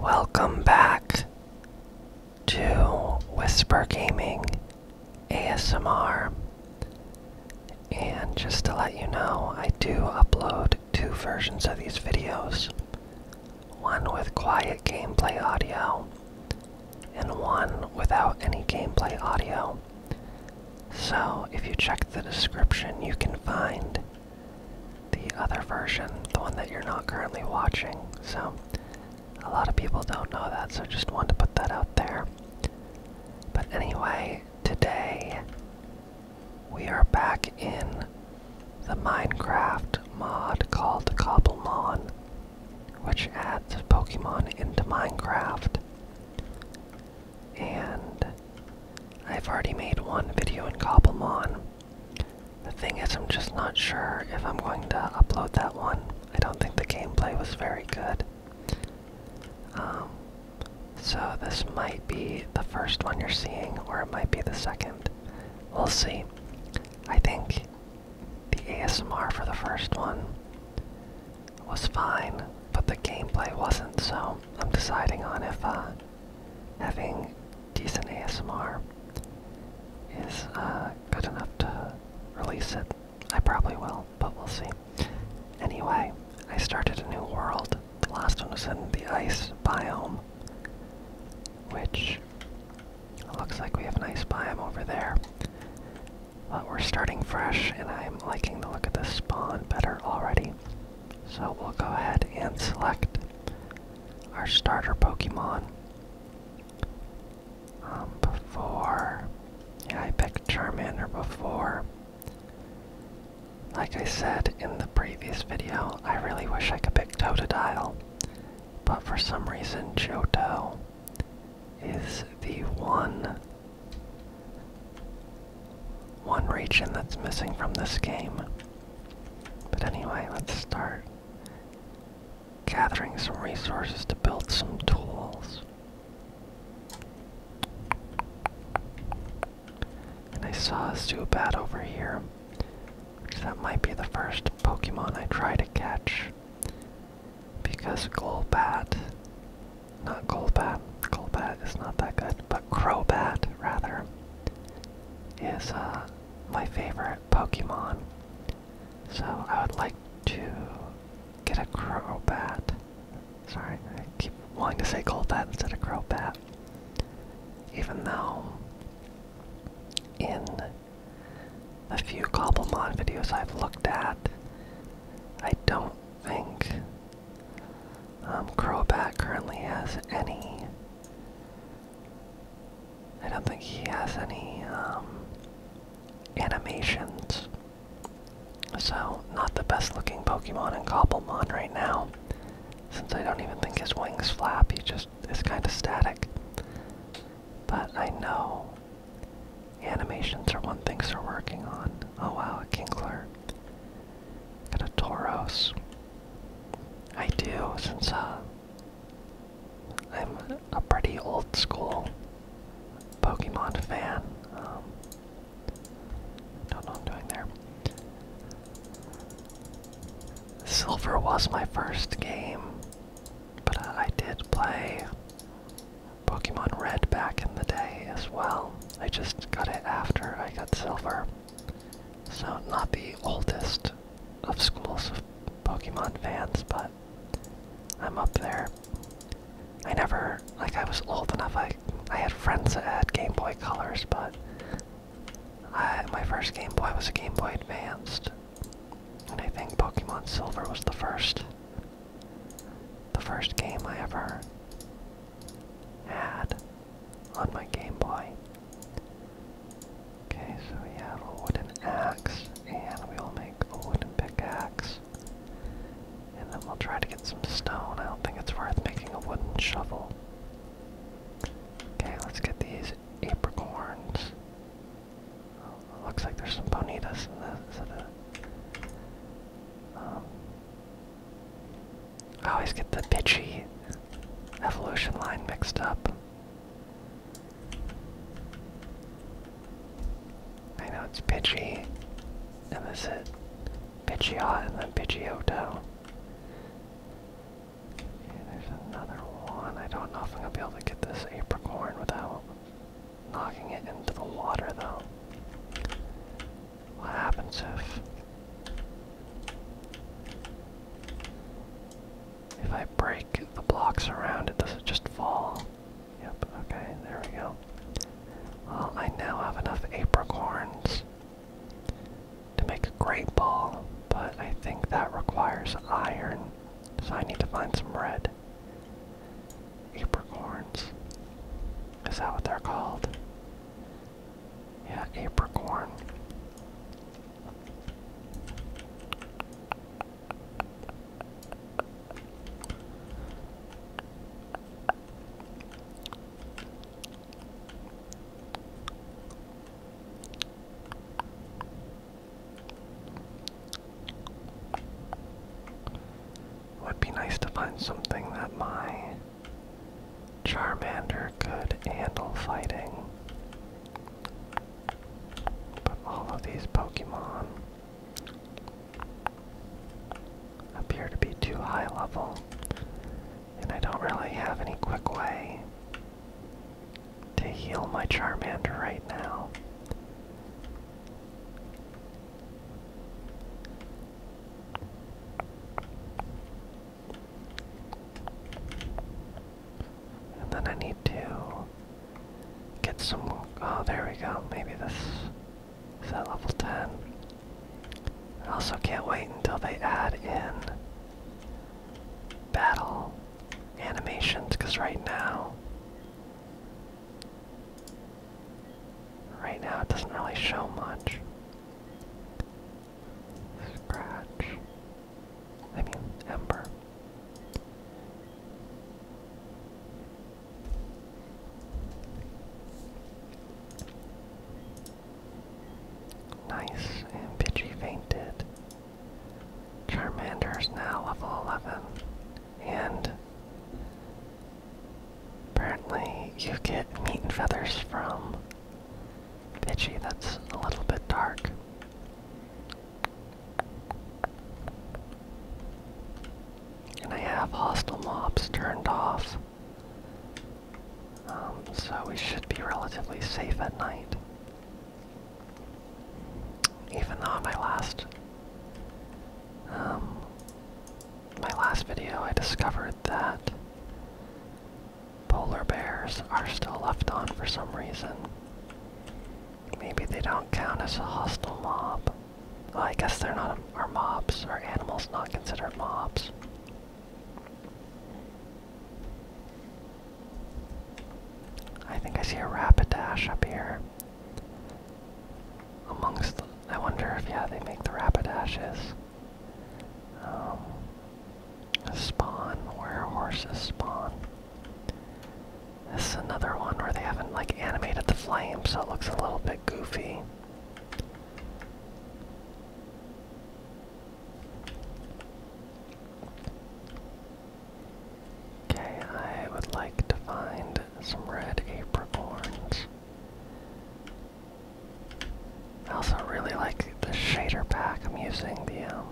Welcome back to Whisper Gaming ASMR. And just to let you know, I do upload two versions of these videos one with quiet gameplay audio, and one without any gameplay audio. So, if you check the description, you can find the other version, the one that you're not currently watching. So, a lot of people don't know that, so just want to put that out there. But anyway, today we are back in the Minecraft mod called Cobblemon, which adds Pokemon into Minecraft and I've already made one video in Cobblemon. The thing is, I'm just not sure if I'm going to upload that one. I don't think the gameplay was very good. Um, so this might be the first one you're seeing, or it might be the second. We'll see. I think the ASMR for the first one was fine, but the gameplay wasn't, so I'm deciding on if uh, having decent ASMR is uh, good enough to release it. I probably will, but we'll see. Anyway, I started a new world. The last one was in the ice biome, which looks like we have an ice biome over there. But we're starting fresh, and I'm liking the look of the spawn better already. So we'll go ahead and select our starter Pokemon. Um, before, I picked Charmander before. Like I said in the previous video, I really wish I could pick Totodile, but for some reason Johto is the one one region that's missing from this game. But anyway, let's start gathering some resources to build some tools. And I saw a Zubat over here. Which that might be the first Pokemon I try to catch. Because Golbat not Golbat. Golbat is not that good, but Crowbat rather, is uh, my favorite Pokemon. So I would like to get a Crowbat. Sorry, I keep wanting to say Golbat instead of Crowbat. Even though in a few Cobblemon videos I've looked at, I don't think um, currently has any. I don't think he has any um, animations. So, not the best looking Pokemon in Cobblemon right now. Since I don't even think his wings flap, he just is kind of static. But I know animations are one things they're working on. Oh wow, a Kinkler. Got a Tauros. I do, since uh, I'm a pretty old school Pokemon fan. Um, don't know I'm doing there. Silver was my first game, but uh, I did play Pokemon Red back in the day as well. I just got it after I got silver. So, not the oldest of schools Pokemon fans, but I'm up there. I never, like, I was old enough, I, I had friends that had Game Boy Colors, but I, my first Game Boy was a Game Boy Advanced. And I think Pokemon Silver was the first, the first game I ever had on my Game Boy. Okay, so we have a wooden axe, and we'll make a wooden pickaxe. And then we'll try to get some stone. I don't think it's worth making a wooden shovel. Okay, let's get these apricorns. looks like there's some bonitas in this. I always get the bitchy evolution line mixed up. I know it's Pidgey, and this is Pidgeot, and then Pidgeotto. Yeah, there's another one. I don't know if I'm gonna be able to get this apricorn without knocking it into the water, though. What happens if... If I break the blocks around it, does it just fall? Yep, okay, there we go. Well, I now have enough apricorns to make a great ball, but I think that requires iron, so I need to find some red. Apricorns. Is that what they're called? Yeah, apricorn. Would be nice to find something that my Charmander could handle fighting. But all of these Pokemon appear to be too high level, and I don't really have any quick way to heal my Charmander right now. And then I need to get some. Oh, there we go. Maybe this is at level 10. I also can't wait until they add in battle animations, because right now. Right now, it doesn't really show much. Scratch. I mean, Ember. Nice, and Pidgey fainted. Charmander's now level 11, and Apparently, you get meat and feathers from Pidgey. That's a little bit dark. And I have hostile mobs turned off. Um, so we should be relatively safe at night. Even though in my last, um, my last video I discovered that Polar bears are still left on for some reason. Maybe they don't count as a hostile mob. I guess they're not. our mobs or animals not considered mobs? I think I see a rapid dash up here. Amongst, I wonder if yeah they make the rapid dashes. Um, spawn, where horses spawn. This is another one where they haven't like animated the flame, so it looks a little bit goofy. Okay, I would like to find some red apricorns. I also really like the shader pack I'm using, the, um,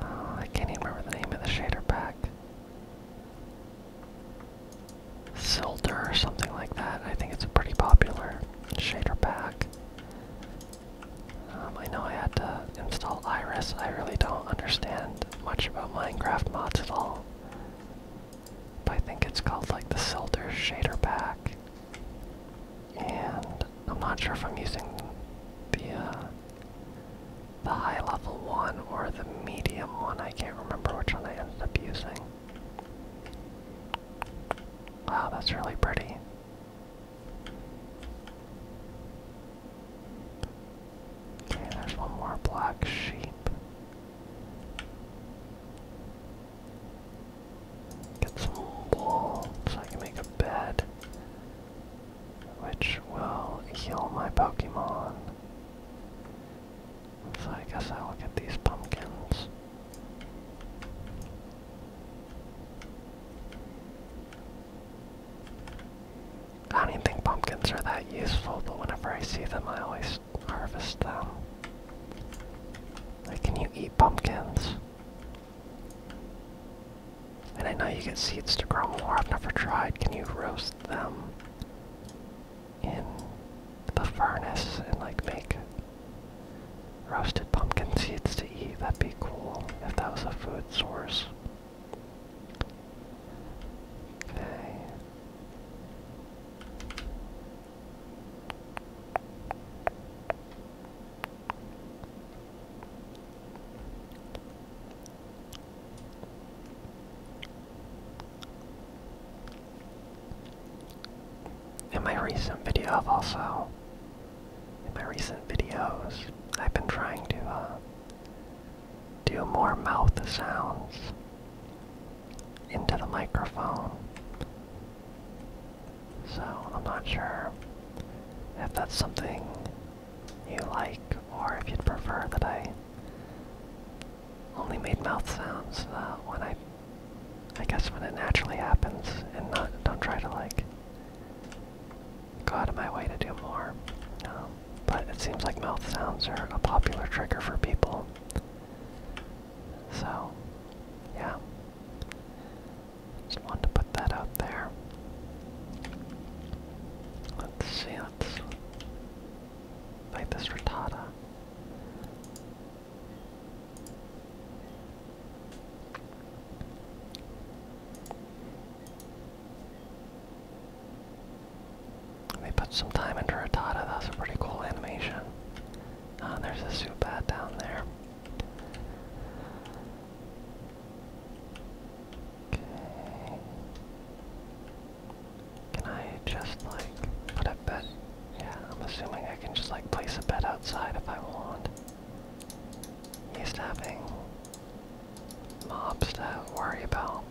uh, I can't remember the name of the shader pack. Silder or something like that. I think it's a pretty popular shader pack. Um, I know I had to install Iris. I really don't understand much about Minecraft mods at all. But I think it's called like the Silder Shader Pack. And I'm not sure if I'm using the uh, the high level one or the medium one. I can't remember which one I ended up using. Wow, that's really pretty. Okay, there's one more black sheep. Get some wool so I can make a bed, which will heal my Pokemon. So I guess I will get these pumpkins. I don't even think pumpkins are that useful, but whenever I see them, I always harvest them. Like, can you eat pumpkins? And I know you get seeds to grow more. I've never tried. Can you roast them in the furnace and like make roasted pumpkin seeds to eat? That'd be cool if that was a food source. Okay. In my recent video, also, in my recent videos, I've been trying to uh, do more mouth sounds into the microphone. So I'm not sure if that's something you like or if you'd prefer that I only made mouth sounds uh, when I I guess when it naturally happens and not don't try to like go out of my way to do more. Um, but it seems like mouth sounds are a popular trigger for people. So, yeah. Just wanted to put that out there. Let's see, let's make this Rattata. They put some time into Rattata, that's a pretty cool animation. Ah, there's a Zubat down there. Okay. Can I just like put a bet? Yeah, I'm assuming I can just like place a bed outside if I want. Used to having mobs to worry about.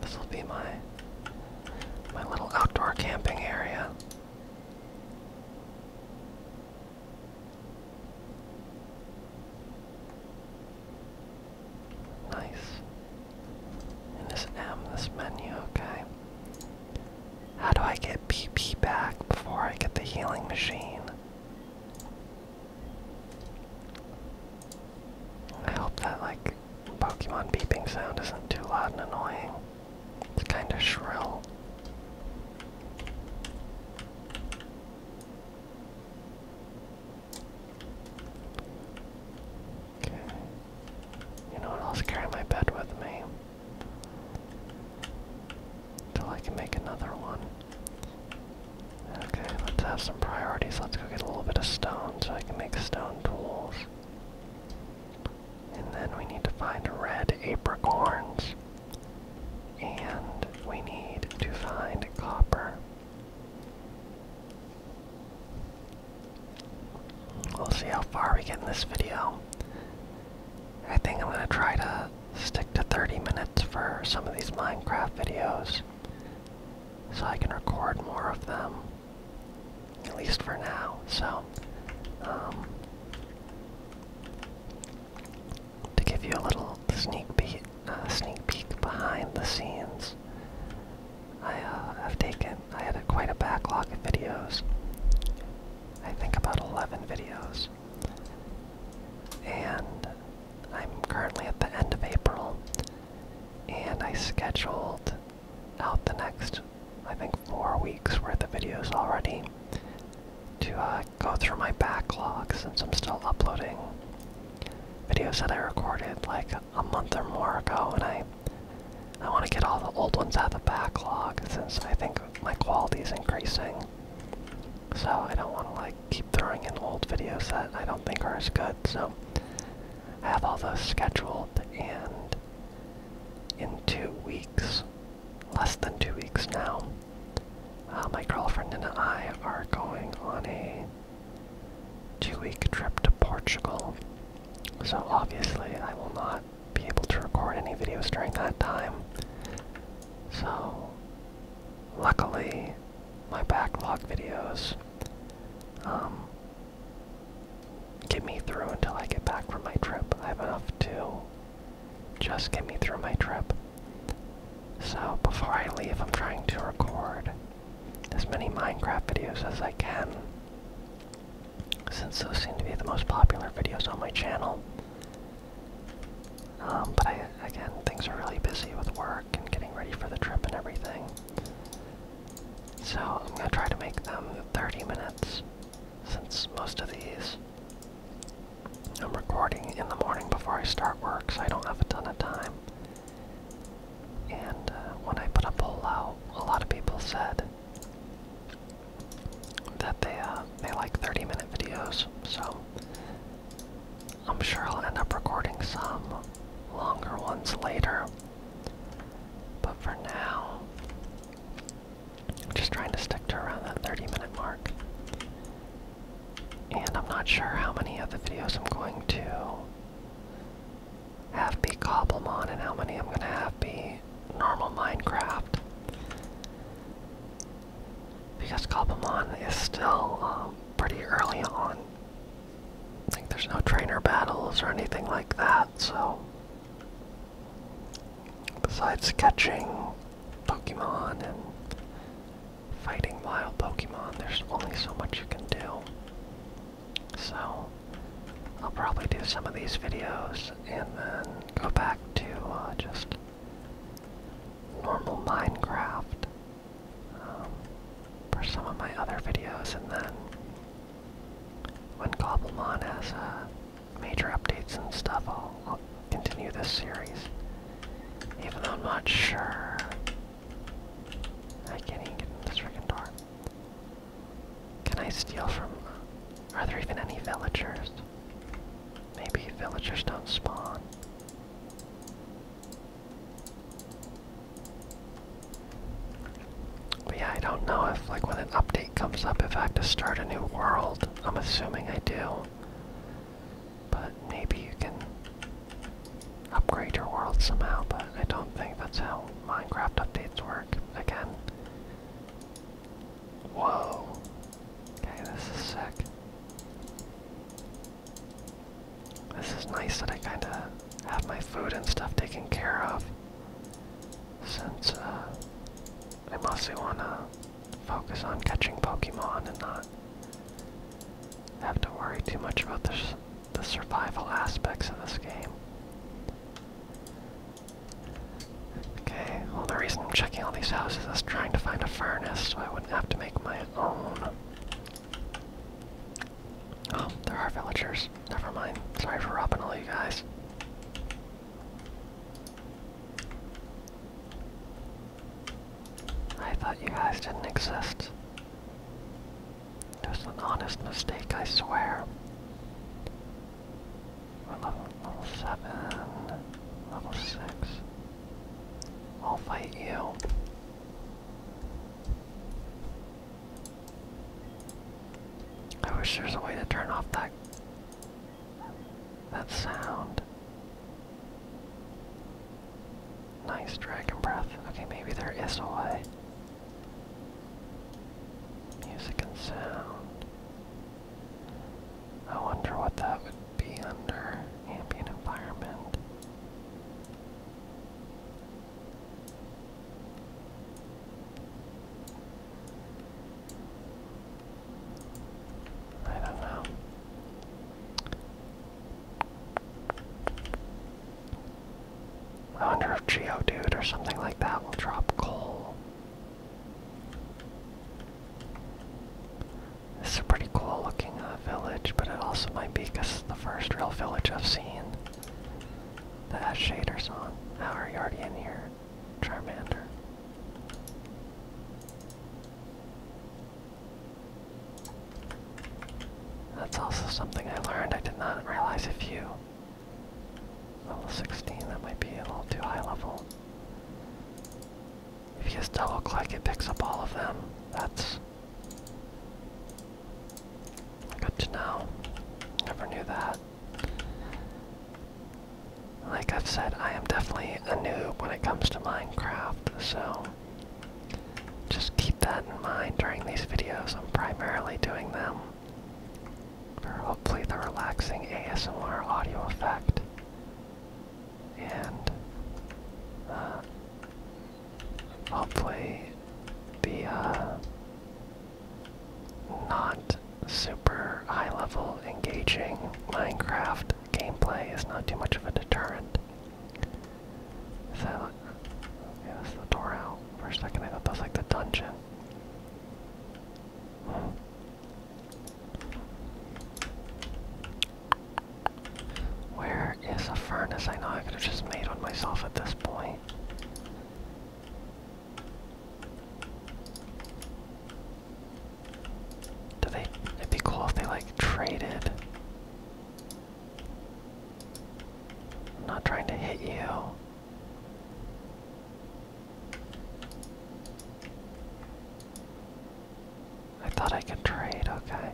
This will be my my little outdoor camping area. Nice. And this M, menu, okay. How do I get PP back before I get the healing machine? I hope that like Pokemon beeping sound isn't too loud and annoying. It's kinda shrill. Okay. You know what? I'll carry my bed with me. Till I can make another one. Okay, let's have some priorities. Let's go get a little bit of stone so I can make stone tools. And then we need to find red apricorns. And we need to find copper. We'll see how far we get in this video. I think I'm gonna try to stick to 30 minutes for some of these Minecraft videos so I can record more of them. At least for now. So, um, to give you a little sneak peek, uh, sneak peek behind the scenes, I uh, have taken. I had quite a backlog of videos. I think about 11 videos, and I'm currently at the end of April, and I scheduled out the next, I think, four weeks worth of videos already to uh, go through my backlog since I'm still uploading videos that I recorded like a month or more ago, and I I want to get all the old ones out of the backlog since I think my quality is increasing. So I don't want to like keep throwing in old videos that I don't think are as good. So I have all those scheduled and in two weeks, less than two weeks now, uh, my girlfriend and I are going on a two week trip to Portugal. So obviously, I will not be able to record any videos during that time. So, luckily, my backlog videos um, get me through until I get back from my trip. I have enough to just get me through my trip. So before I leave, I'm trying to record as many Minecraft videos as I can, since those seem to be the most popular videos on my channel. Um, but I, again, things are really busy with work and getting ready for the trip and everything. So I'm gonna try to make them 30 minutes since most of these I'm recording in the morning before I start work, so I don't have a ton of time. And uh, when I put a poll out, a lot of people said that they uh, they like 30 minute videos, so I'm sure I'll end up recording some longer ones later. But for now, I'm just trying to stick to around that 30 minute mark. And I'm not sure how many of the videos I'm going to have be Cobblemon and how many I'm going to have be normal Minecraft. Because Cobblemon is still um, pretty early on. I think there's no trainer battles or anything like that so. Besides catching Pokemon and fighting wild Pokemon, there's only so much you can do. So, I'll probably do some of these videos and then go back to uh, just normal Minecraft um, for some of my other videos, and then when Cobblemon has uh, major updates and stuff, I'll, continue this series. Even though I'm not sure. I can't even get in this freaking door. Can I steal from. Uh, are there even any villagers? Maybe villagers don't spawn yeah, I don't know if, like, when an update comes up, if I have to start a new world. I'm assuming I do. But maybe you can upgrade your world somehow, but I don't think that's how Minecraft updates work. Again. Whoa. Okay, this is sick. This is nice that I kinda have my food and stuff taken care of. Since uh, I mostly want to focus on catching Pokemon and not have to worry too much about the, the survival aspects of this game. Okay, well the reason I'm checking all these houses is trying to find a furnace so I wouldn't have to make my own. Oh, there are villagers. Never mind. Sorry for robbing all you guys. I thought you guys didn't exist. It an honest mistake, I swear. level 7, level 6. I'll fight you. I wish there's a way to turn off that that sound. Nice dragon breath. Okay, maybe there is a way. Music and sound. I wonder what that would be under ambient environment. I don't know. I wonder if Geodude or something like that will drop coal. This is a pretty cool looking uh, village, but it also might be because it's the first real village I've seen. The shader's on. How are you already in here, Charmander? That's also something I learned. I did not realize a few. level 16, that might be a little too high level. If you just double click, it picks up all of them. That's Good to know. Never knew that. Like I've said, I am definitely a noob when it comes to Minecraft, so just keep that in mind during these videos. I'm primarily doing them for hopefully the relaxing ASMR audio effect. And uh, hopefully the uh, not super high level engaging Minecraft gameplay is not too much of a deterrent. So, okay, that's the door out. For a second I thought that was like the dungeon. Where is a furnace I know I could have just made on myself at this point? Do they? It'd be cool if they like traded. not trying to hit you. I thought I could trade, okay.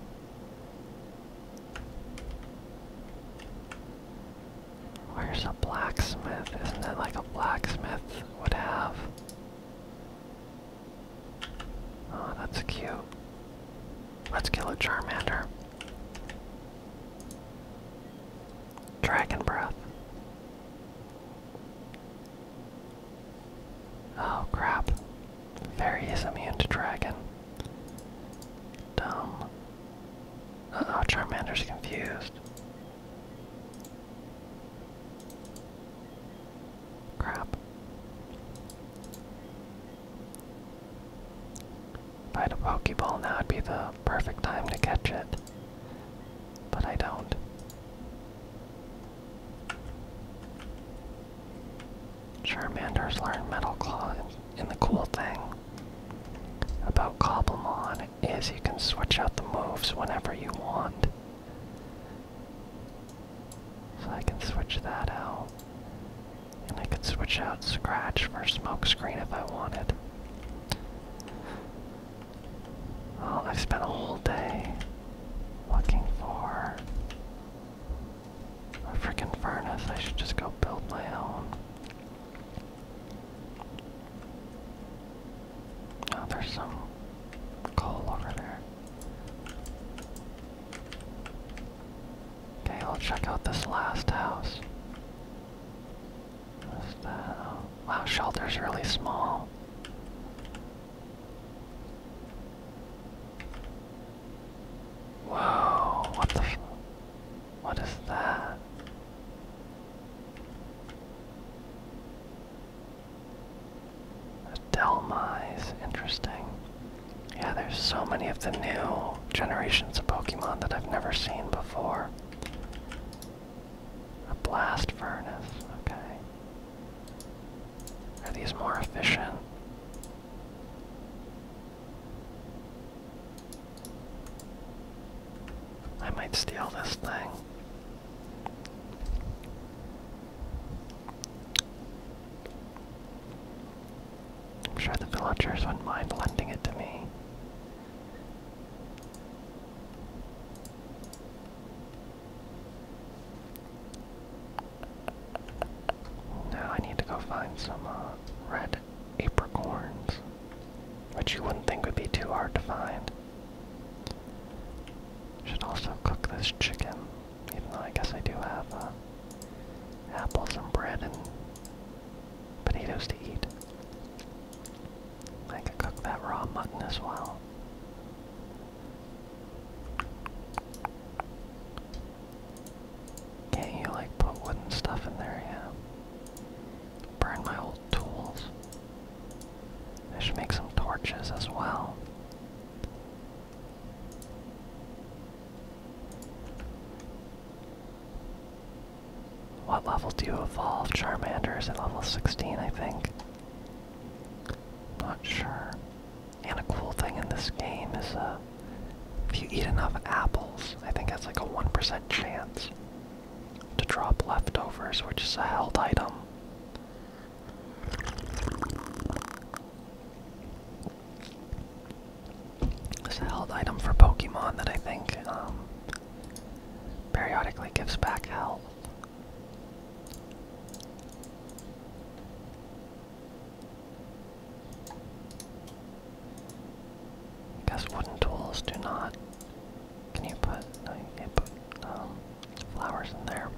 Where's a blacksmith? Isn't it like a blacksmith would have? Oh, that's cute. Let's kill a Charmander. Dragon Breath. Oh crap. Fairy is immune to dragon. Dumb oh Charmander's confused. Crap. If a Pokeball, now would be the perfect time to catch it. But I don't. Charmander's learned Metal Claw in the cool thing about Cobblemon. Is you can switch out the moves whenever you want. So I can switch that out. And I could switch out Scratch for Smokescreen if I wanted. Well, I've spent a whole day looking for a freaking furnace. I should just go build my own. Oh, there's some coal over there. Okay, I'll check out this last house. What's that? Oh, wow, shelter's really small. Whoa, what the What is that? Delmise, interesting. Yeah, there's so many of the new generations of Pokemon that I've never seen before. A blast furnace, okay. Are these more efficient? I might steal this thing. I'm sure the villagers wouldn't mind lending it to me. Now I need to go find some uh, red apricorns which you wouldn't think would be too hard to find. Should also cook this chicken, even though I guess I do have uh, apples and bread and potatoes to eat. I could cook that raw mutton as well. Can't you like put wooden stuff in there? Yeah. Burn my old tools. I should make some torches as well. What level do you evolve? Charmander is at level 16, I think. Not sure. And a cool thing in this game is uh, if you eat enough apples, I think that's like a 1% chance to drop leftovers, which is a held item. It's a held item for Pokemon that I think um, periodically gives back health. Guess wooden tools do not can you put, no, you put um, flowers in there.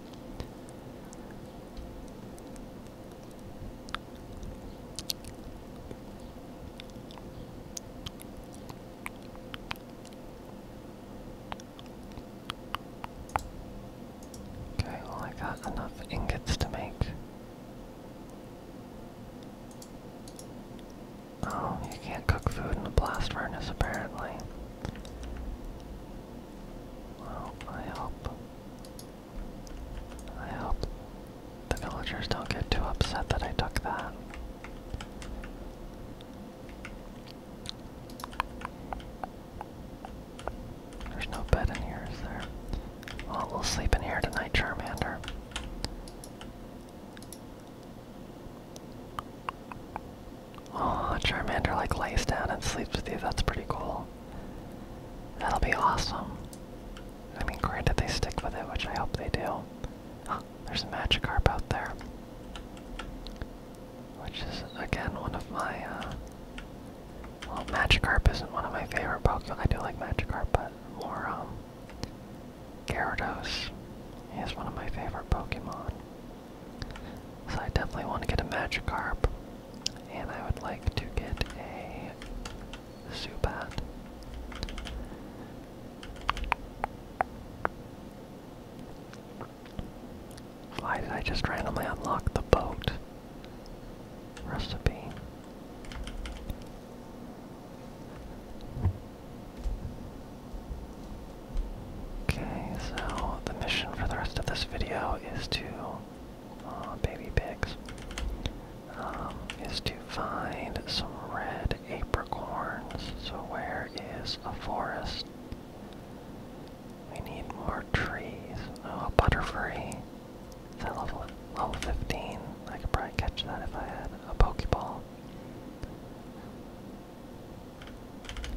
Okay, well I got enough ingots to make Oh, you can't cook food in the blast furnace apparently. Well, I hope. I hope the villagers don't get too upset that I took that. There's no bed in here, is there? Well, we'll sleep in here tonight, Charmander. Oh, Charmander like lays down and sleeps with you. That's pretty cool. That'll be awesome. I mean, granted they stick with it, which I hope they do. there's a Magikarp out there. Which is, again, one of my, uh, Well, Magikarp isn't one of my favorite Pokemon. I do like Magikarp, but more, um, Gyarados is one of my favorite Pokemon. So I definitely want to get a Magikarp. And I would like to get a Zubat. Why did I just randomly unlock the boat recipe? Okay, so the mission for the rest of this video is to, uh, baby pigs, um, is to find some red apricorns. So where is a forest? We need more trees. Oh, a butterfree. level, level 15? I could probably catch that if I had a Pokeball.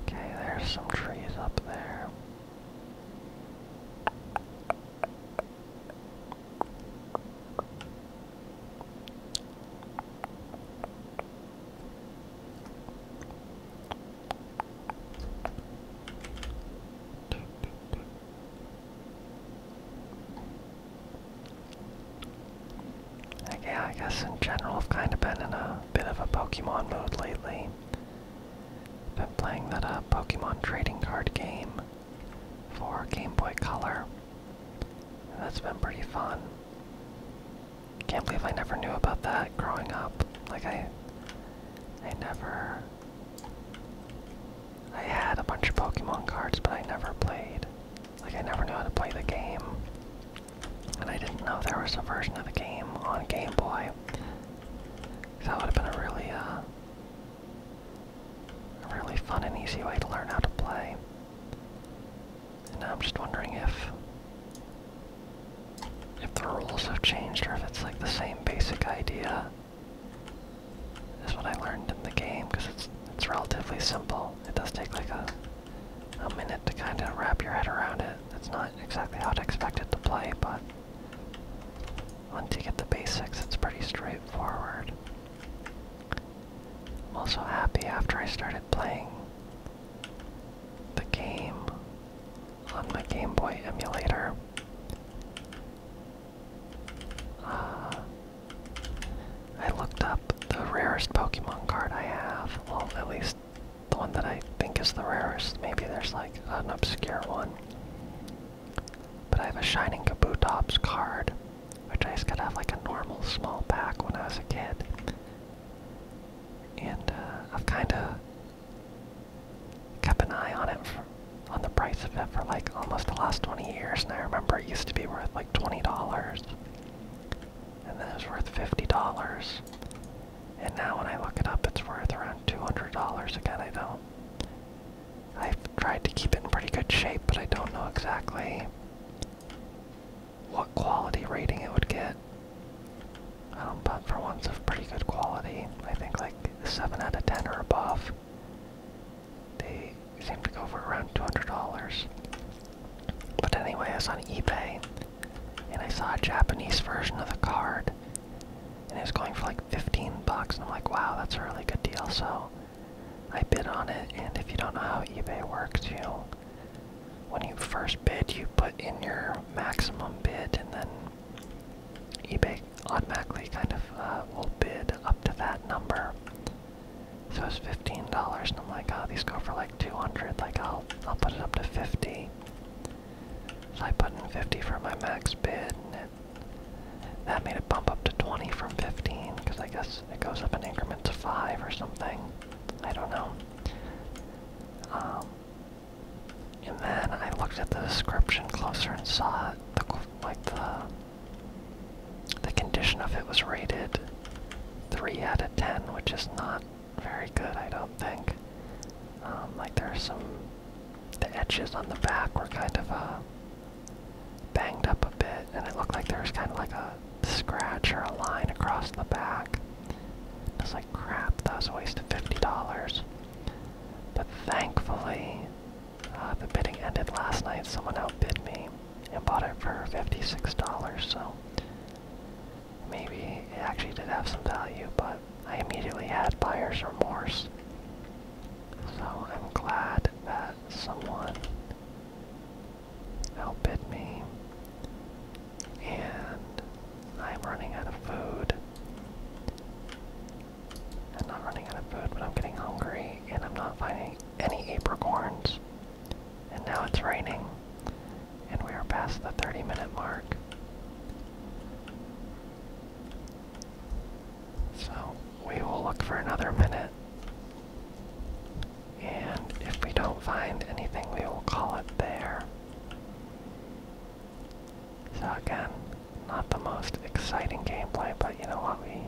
Okay, there's some trees up there. Like, yeah, I guess in general I've kind of been in a bit of a Pokemon mode lately. Been playing that uh, Pokemon trading card game for Game Boy Color. And that's been pretty fun. Can't believe I never knew about that growing up. Like I, I never. I had a bunch of Pokemon cards, but I never played like, I never knew how to play the game. And I didn't know there was a version of the game on Game Boy. that would have been a really, uh, a really fun and easy way to learn how to play. And now I'm just wondering if, if the rules have changed or if it's like the same basic idea as what I learned in the game, because it's it's relatively simple it does take like a, a minute to kind of wrap your head around it. It's not exactly how to expect it to play, but once you get the basics, it's pretty straightforward. I'm also happy after I started playing the game on my Game Boy emulator. Uh, I looked up the rarest Pokemon card I have. Well, at least the one that I think is the rarest. Maybe there's like an obscure one. But I have a Shining Kabutops card, which I used to have like a normal small pack when I was a kid. And uh, I've kind of kept an eye on it, for, on the price of it for like almost the last 20 years, and I remember it used to be worth like $20 and then it was worth $50. And now when I look it up, it's worth around $200. Again, I don't. I've tried to keep it in pretty good shape, but I don't know exactly what quality rating it would get. Um, but for ones of pretty good quality, I think like 7 out of 10 or above. They seem to go for around $200. But anyway, I was on eBay and I saw a Japanese version of the card and it was going for like 15 bucks and I'm like, wow, that's a really good deal. So I bid on it and if you don't know how eBay works, you know, when you first bid, you put in your maximum bid and then eBay automatically kind of uh, will bid up to that number so it's fifteen dollars, and I'm like, oh, these go for like two hundred. Like, I'll I'll put it up to fifty. So I put in fifty for my max bid, and it, that made it bump up to twenty from fifteen, because I guess it goes up in increments of five or something. I don't know. Um, and then I looked at the description closer and saw the like the the condition of it was rated 3 out of 10, which is not very good, I don't think. Um, like, there's some. The edges on the back were kind of uh, banged up a bit, and it looked like there was kind of like a scratch or a line across the back. I was like, crap, that was a waste of $50. But thankfully, uh, the bidding ended last night. Someone outbid me, and bought it for $56, so maybe it actually did have some value, but I immediately had buyer's remorse. So I'm glad that someone outbid me. And I'm running out of food. I'm not running out of food, but I'm getting hungry and I'm not finding any apricorns. And now it's raining, and we are past the 30 minute mark. So we will look for another minute. And if we don't find anything, we will call it there. So again, not the most exciting gameplay, but you know what? We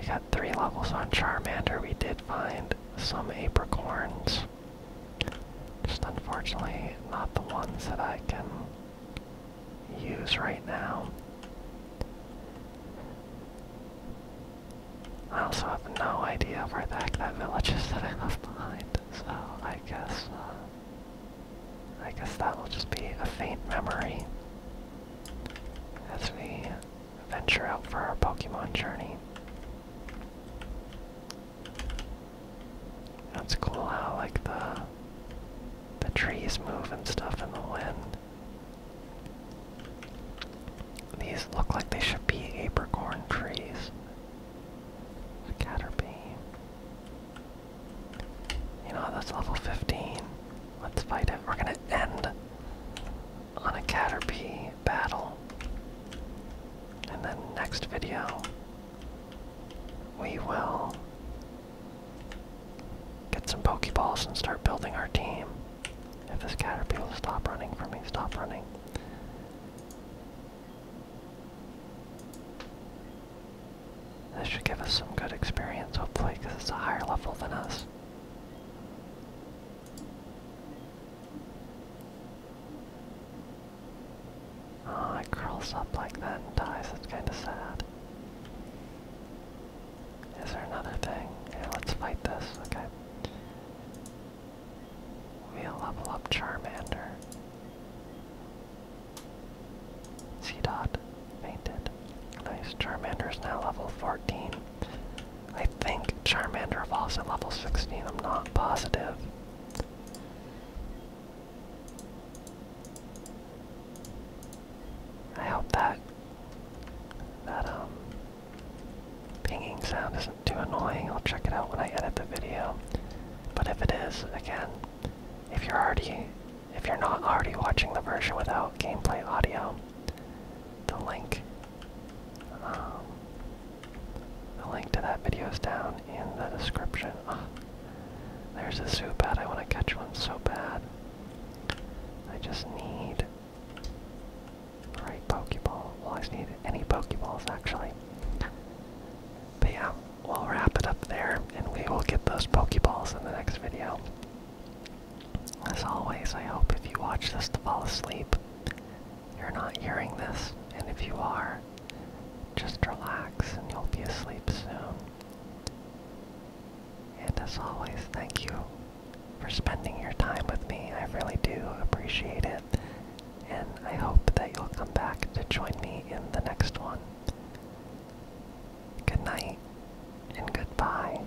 we got three levels on Charmander. We did find some apricorns. Just unfortunately not the ones that I can use right now. I also have no idea where the heck that village is that I left behind, so I guess, uh, I guess that will just be a faint memory as we venture out for our Pokemon journey. That's cool how like the the trees move and stuff in the wind. These look like they should be apricorn trees. Caterpie. You know, that's level 15. Let's fight it. We're gonna end on a Caterpie battle. And then next video, we will get some Pokeballs and start building our team. If this Caterpie will stop running for me, stop running. This should give us some good experience, hopefully, because it's a higher level than us. Oh, it curls up like that and dies. It's kind of sad. Is there another thing? Yeah, let's fight this. Okay. We'll level up Charmander. C-Dot fainted. Nice. is now level 14. I think Charmander evolves at level 16. I'm not positive. I hope that that um pinging sound isn't too annoying. I'll check it out when I edit the video. But if it is, again, if you're already if you're not already watching the version without gameplay audio, the link, um, the link to that video is down in the description. Ah, there's a zoo bad. I want to catch one so bad. I just need right Pokeball. Well, I just need any Pokeballs actually. But yeah, we'll wrap it up there, and we will get those Pokeballs in the next video. As always, I hope if you watch this to fall asleep, you're not hearing this, and if you are, just relax and you'll be asleep soon. And as always, thank you for spending your time with me. I really do appreciate it, and I hope that you'll come back to join me in the next one. Good night and goodbye.